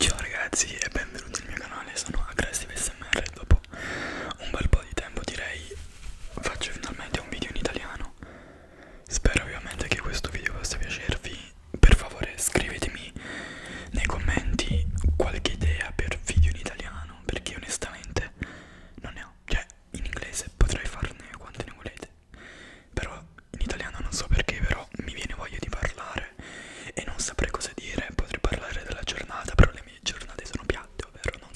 Ciao ragazzi e benvenuti al mio canale, sono Aggressive SMR dopo un bel po' di tempo direi faccio finalmente un video in italiano Spero ovviamente che questo video possa piacervi Per favore scrivetemi nei commenti qualche idea per video in italiano Perché onestamente non ne ho Cioè in inglese potrei farne quante ne volete però in italiano non so perché però mi viene voglia di parlare e non saprei cosa dire potrei parlare della giornata però le mie giornate sono piatte ovvero non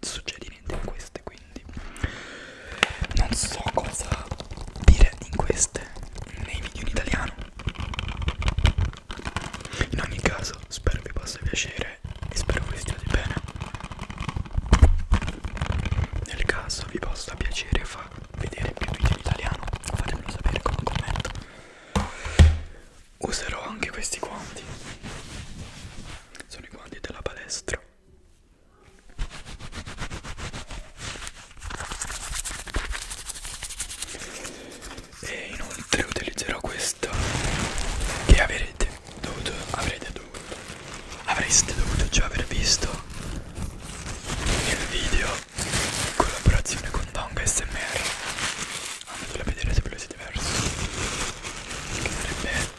succede niente in queste quindi non so cosa dire in queste nei video in italiano in ogni caso spero vi possa piacere e spero che stiate bene nel caso vi possa piacere far vedere più video in italiano fatemelo sapere con un commento userò anche questi guanti sono i guanti della palestra e inoltre utilizzerò questa che avrete dovuto avrete dovuto avreste dovuto già aver visto il video in collaborazione con Dong SMR andatelo a vedere se ve lo siete persi che sarebbe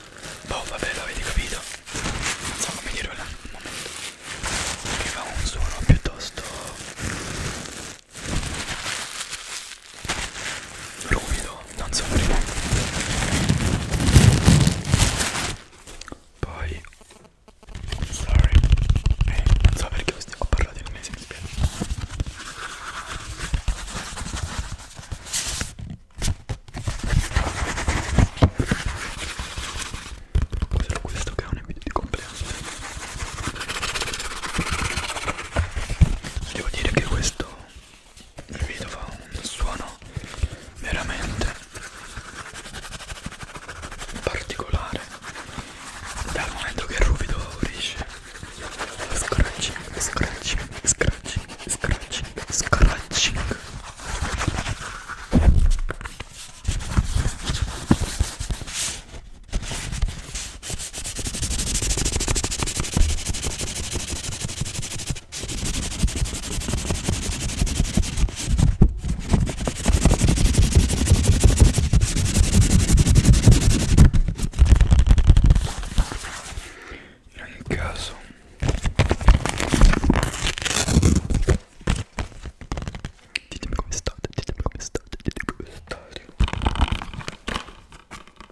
boh vabbè l'avete capito non so come dirlo al momento che fa un suono piuttosto ruvido non soffrire poi sorry eh, non so perché ho parlato in inglese mi spiego Cos'è questo che è un video di compleanno? Devo dire che questo il video fa un suono veramente particolare dal momento che il ruvido unisce scratching, scratching, scratching, scratching, scratching in ogni caso ditemi come state, ditemi come state, ditemi come state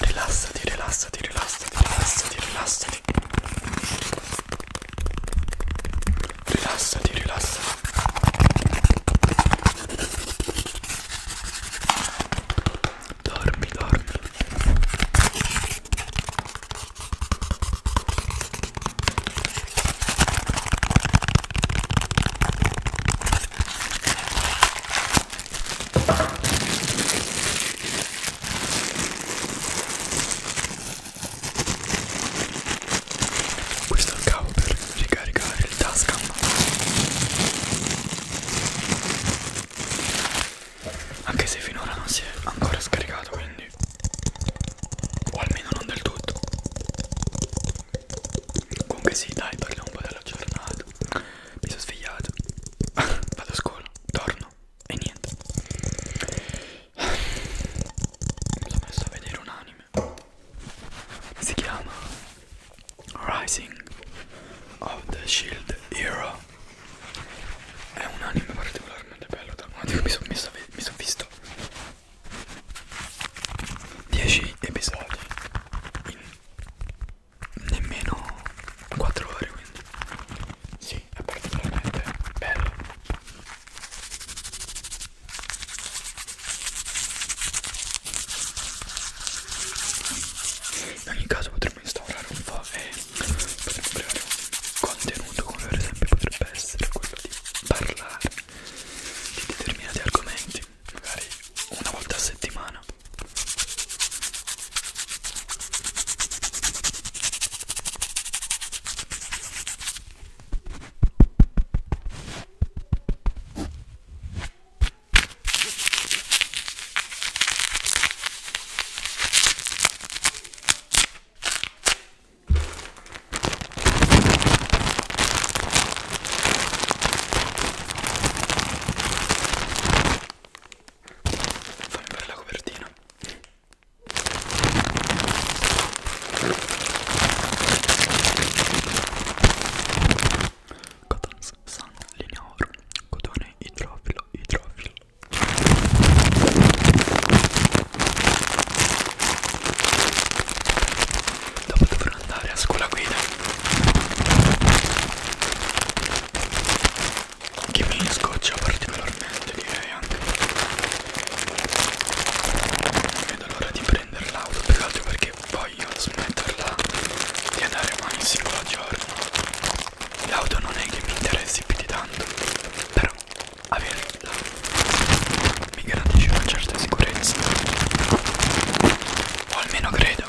rilassati, rilassati, rilassati, rilassati, rilassati. Rilassati, rilassati. Dormi, dormi. Questo è il cavo per ricaricare il tasca. Anche se finora non si è ancora scaricato, quindi o almeno non del tutto. Comunque sì, dai, parliamo un po' della giornata mi sono svegliato vado a scuola torno e niente mi sono messo a vedere un anime si chiama Rising of the Shield Hero è un anime particolarmente bello dal momento che mi sono son visto 10 episodi in nemmeno 4 ore quindi sì è particolarmente bello in ogni caso potremmo instaurare un po' e potremmo creare un contenuto come per esempio potrebbe essere quello di parlare di determinati argomenti tutti, magari una volta a settimana. Fammi vedere la copertina. Cotton Sun linea oro, cotone idrofilo, idrofilo. Dopo dovrò per andare a scuola guida che mi scoccia particolarmente direi anche non vedo l'ora di prendere l'auto più che altro perché voglio smetterla di andare mai un singolo giorno l'auto non è che mi interessi più di tanto però averla mi garantisce una certa sicurezza o almeno credo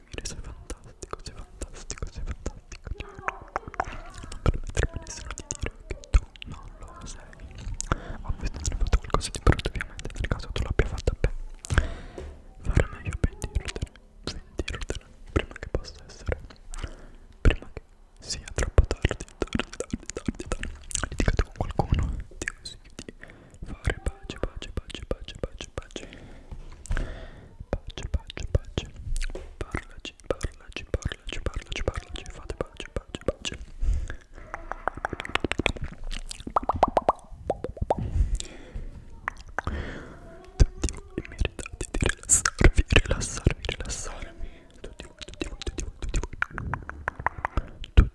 dormire, sei fantastico, sei fantastico, sei fantastico. Non permettermi nessuno di dire che tu non lo sei. Ovviamente non hai fatto qualcosa di brutto, ovviamente nel caso tu l'abbia fatta bene. Fare meglio pentirtene, pentirtene prima che possa essere, prima che sia troppo tardi, tardi, tardi, tardi, tardi. Litigate con qualcuno, ti consiglio di fare pace, pace, pace, pace, pace, pace, pace, pace, pace, parlaci, parlaci, parlaci, parlaci, parlaci, fate pace, pace, pace. Tutti voi meritate di rilassarvi, rilassarvi, rilassarvi. Tutti voi, tutti voi, tutti voi, tutti voi. Tutti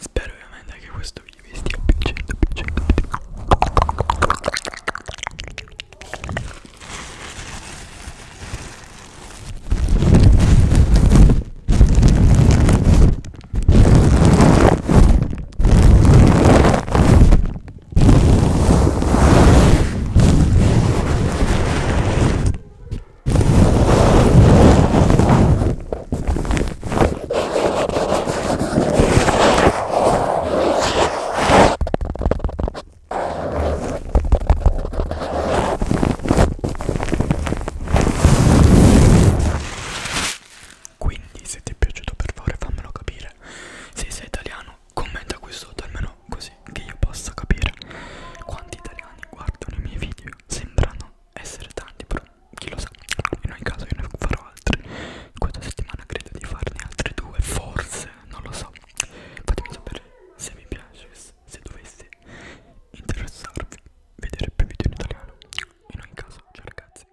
Spero ovviamente che questo video vi stia piacendo, piacendo, piacendo. Quindi se ti è piaciuto per favore fammelo capire. Se sei italiano italiano commenta qui sotto almeno così che io possa capire quanti italiani guardano i miei video sembrano essere tanti però chi lo sa in ogni caso io ne farò altri questa settimana credo di farne altri due forse non lo so fatemi sapere se vi piace se dovesse interessarvi vedere più video in italiano in ogni caso ciao ragazzi